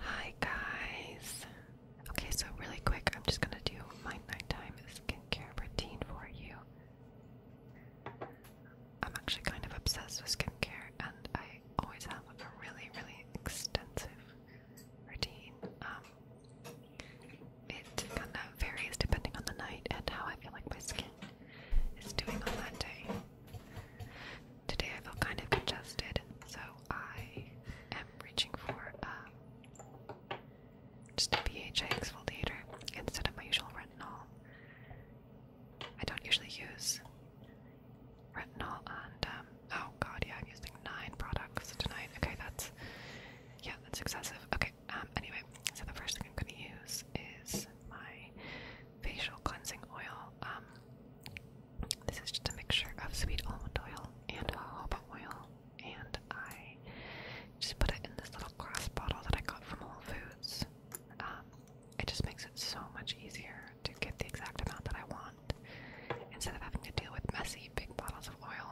Hi guys. Okay, so really quick, I'm just gonna do my nighttime skincare routine for you. I'm actually kind of obsessed with skincare, and I always have a really, really extensive routine. Um, it kind of varies depending on the night and how I feel like my skin is doing that day. Today I feel kind of congested, so I am reaching for um, just a pH exfoliator instead of my usual retinol. I don't usually use retinol and um, oh god yeah I'm using nine products tonight okay that's yeah that's excessive okay um, anyway so the first thing I'm gonna use is my facial cleansing oil um, this is just a mixture of sweet almond oil and jojoba oil and I just put it in this little glass bottle that I got from Whole Foods it just makes it so much easier to get the exact amount that I want instead of having to deal with messy big bottles of oil.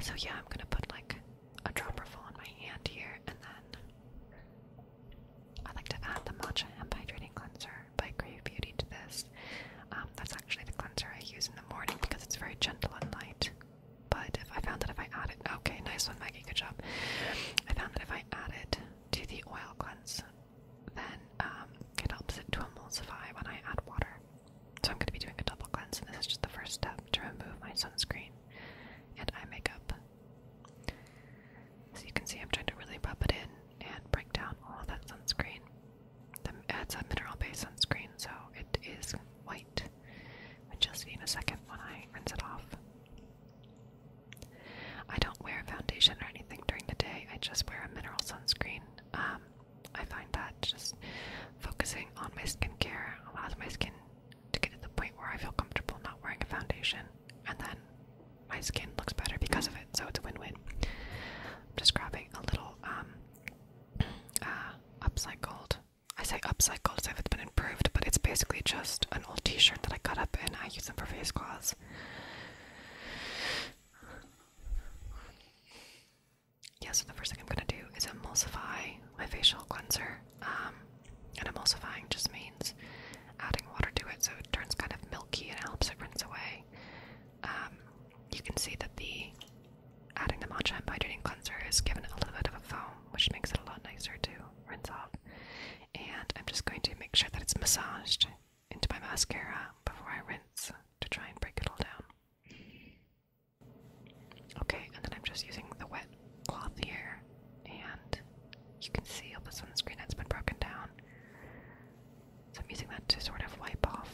So, yeah, I'm gonna put like a dropperful full in my hand here, and then I like to add the matcha hemp hydrating cleanser by Grave Beauty to this. Um, that's actually the cleanser I use in the morning because it's very gentle and light. But if I found that if I add it, okay, nice one, Maggie, good job. I found that if I add it to the oil cleanse then um, it helps it to emulsify when I add water. So I'm going to be doing a double cleanse, and this is just the first step to remove my sunscreen and eye makeup. So you can see I'm trying to really rub it in and break down all that sunscreen. The, it's a mineral-based sunscreen, so it is white, which you'll see in a second when I rinse it off. I don't wear foundation or anything during the day. I just wear a mineral sunscreen. Um, I find that just focusing on my skincare allows my skin to get to the point where I feel comfortable not wearing a foundation, and then my skin looks better because of it. So it's a win-win. I'm just grabbing a little um, uh, upcycled. I say upcycled so if it's been improved, but it's basically just old t-shirt that I cut up and I use them for face cloths. Yeah, so the first thing I'm gonna do is emulsify my facial cleanser. Um, and emulsifying just means adding water to it so it turns kind of milky and helps it rinse away. Um, you can see that the adding the matcha and hydrating cleanser is given a little bit of a foam, which makes it a lot nicer to rinse off and I'm just going to make sure that it's massaged into my mascara before I rinse to try and break it all down. Okay, and then I'm just using the wet cloth here, and you can see all the sunscreen that's been broken down. So I'm using that to sort of wipe off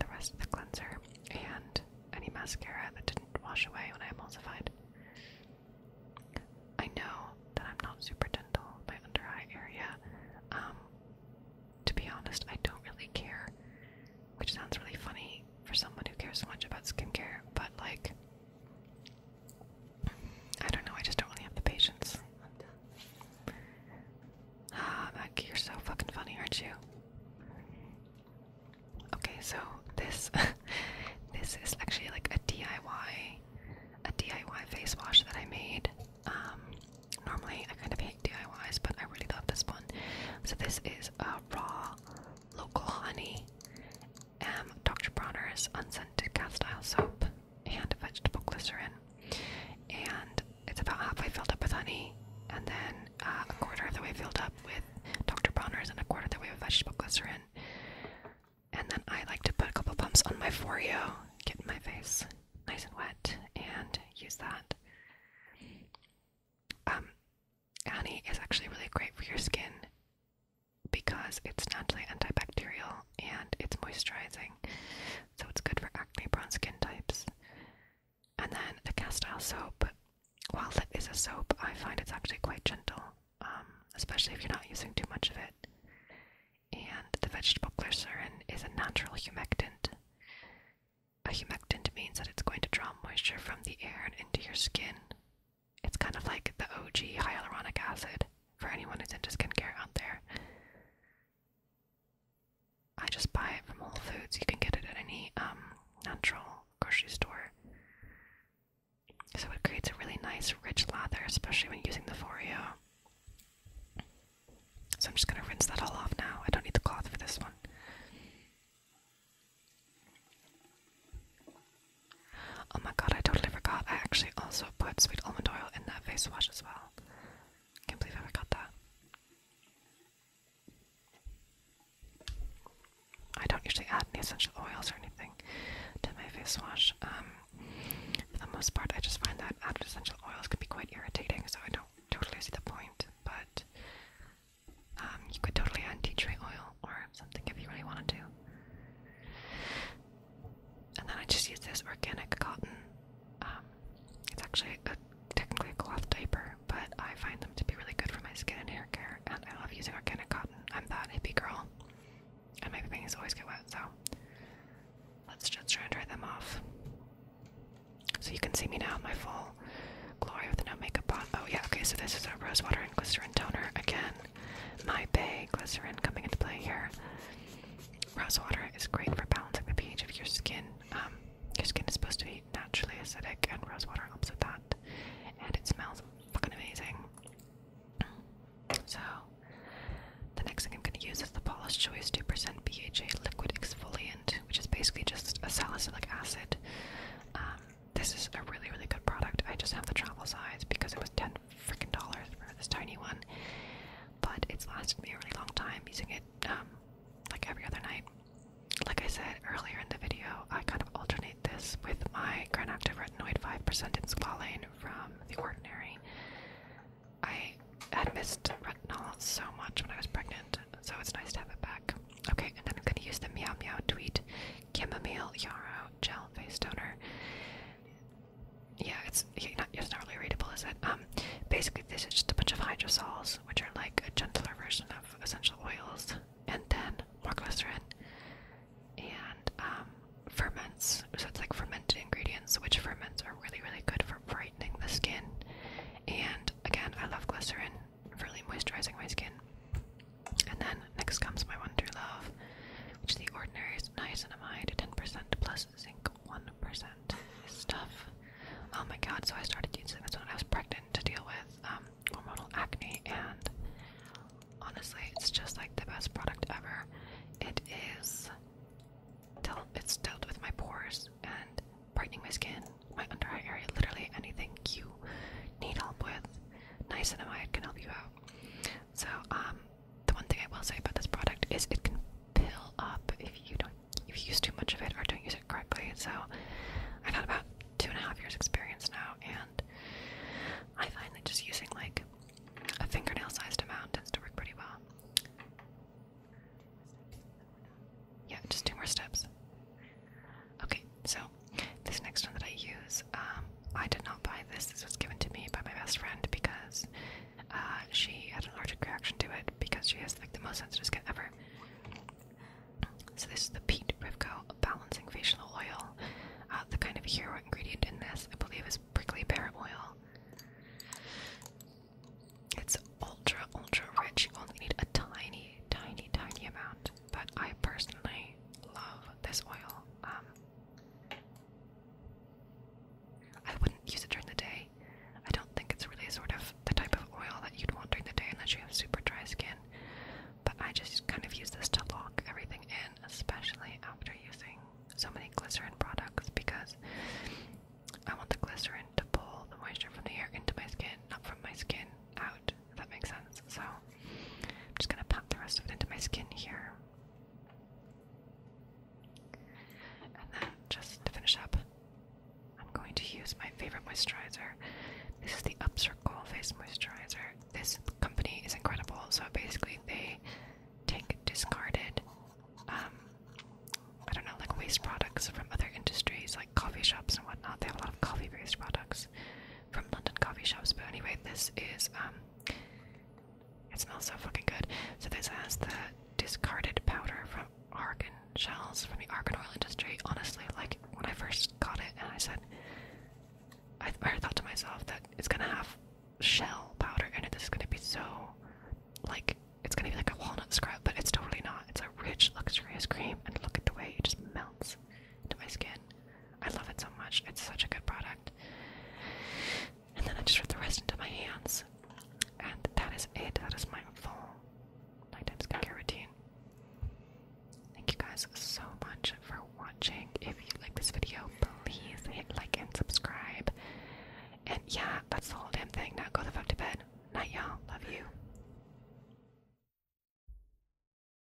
the rest of the cleanser and any mascara that didn't wash away when I emulsified. I know that I'm not super gentle my under eye area. Um, to be honest, I don't really care, which sounds really funny for someone who cares so much about skincare, but like, I don't know, I just don't really have the patience. Ah, Maggie, you're so fucking funny, aren't you? Okay, so this this is actually like a DIY a DIY face wash that I made. Um, normally I kind of hate DIYs, but I really love this one. So this is a raw local honey, um, Dr. Bronner's unscented Castile soap, and vegetable glycerin. And it's about halfway filled up with honey, and then uh, a quarter of the way filled up with Dr. Bronner's and a quarter of the way with vegetable glycerin. And then I like to put a couple pumps on my Foreo, get my face nice and wet, and use that. Um, honey is actually really great for your skin because it's naturally antibacterial and it's moisturizing, so it's good for acne prone skin types. And then the castile soap. While it is a soap, I find it's actually quite gentle, um, especially if you're not using too much of it. And the vegetable glycerin is a natural humectant. A humectant means that it's going to draw moisture from the air and into your skin. It's kind of like the OG hyaluronic acid for anyone who's into skincare out there. I just buy it from Whole Foods. You can get it at any um, natural grocery store. So it creates a really nice, rich lather, especially when using the Foreo. So I'm just going to rinse that all off now. I don't need the cloth for this one. Oh my god, I totally forgot. I actually also put sweet almond oil in that face wash as well. Can't believe I forgot that. I don't usually add any essential oils or anything to my face wash. Um, for the most part, I just find that added essential oils can be quite irritating, so I don't totally see the point. But um, you could totally add tea tree oil or something if you really wanted to. And then I just use this organic cotton um, it's actually a, technically a cloth diaper, but I find them to be really good for my skin and hair care, and I love using organic cotton. I'm that hippie girl, and my bangs always get wet, so let's just try and dry them off. So you can see me now in my full glory with no makeup on. Oh yeah, okay, so this is a rose water and glycerin toner. Again, my bay glycerin coming into play here. Rose water is great for balancing the pH of your skin. Um, your skin is supposed to be naturally acidic, and rose water helps with that. And it smells fucking amazing. So, the next thing I'm going to use is the Paula's Choice 2% BHA Liquid Exfoliant, which is basically just a salicylic acid. Um, this is a really, really good product. I just have the travel size because it was 10 freaking dollars for this tiny one. But it's lasted me a really long time using it. Um, like every other night. Like I said earlier in the video, I kind of alternate this with my granactive retinoid 5% in squalane from The Ordinary. I had missed retinol so much when I was pregnant, so it's nice to have it back. Okay, and then I'm going to use the Meow Meow Tweet Chamomile Yarrow Gel Face Toner yeah, it's not, it's really readable, is it? Um, basically, this is just a bunch of hydrosols, which are like a gentler version of essential oils, and then more glycerin and um, ferments. So it's like fermented ingredients, which ferments are really, really good for brightening the skin. And again, I love glycerin really moisturizing my skin. And then next comes my one true love, which is the ordinary niacinamide, 10% plus zinc, one percent stuff. Oh my god! So I started using this when I was pregnant to deal with um, hormonal acne, and honestly, it's just like the best product ever. It is. Dealt, it's dealt with my pores and brightening my skin, my under eye area, literally anything you need help with. Niacinamide can help you out. So um, the one thing I will say about this product is it can pill up if you don't if you use too much of it or don't use it correctly. So I've had about two and a half years experience now and I find that just using like a fingernail sized amount tends to work pretty well. Yeah, just two more steps. Okay, so this next one that I use, um, I did not buy this. This was given to me by my best friend because uh, she had an allergic reaction to it because she has the most sensitive skin ever. So this is the Pete Rivco Balancing Facial Oil. Uh, the kind of hero ingredient in this, I believe, is prickly pear oil. It's ultra, ultra rich. You only need a tiny, tiny, tiny amount. But I personally love this oil. Um, I wouldn't use it during the day. I don't think it's really sort of the type of oil that you'd want during the day unless you have super dry skin. But I just kind of use this to lock everything in, especially after using so many glycerin products because I want the glycerin to pull the moisture from the air into my skin, not from my skin out, if that makes sense. So I'm just gonna pop the rest of it into my skin here. And then, just to finish up, I'm going to use my favorite moisturizer. This is the Upcircle Face Moisturizer. This company is incredible. So basically, they take discarded, um, I don't know, like waste products from other industries, like coffee shops and whatnot. They have a lot of coffee-based products, from London coffee shops. But anyway, this is um, it smells so fucking good. So this has the discarded powder from argan shells from the argan oil industry. Honestly, like when I first got it, and I said, I, th I thought to myself that it's gonna have shell powder in it. This is gonna be so like it's gonna be like a walnut scrub, but it's totally not. It's a rich, luxurious cream, and look at the way it just melts into my skin. I love it so much. It's such a good product. And then I just rip the rest into my hands. And that is it. That is my full nighttime skincare routine. Thank you guys so much for watching. If you like this video, please hit like and subscribe. And yeah, that's the whole damn thing. Now go the fuck to bed. Night, y'all. Love you.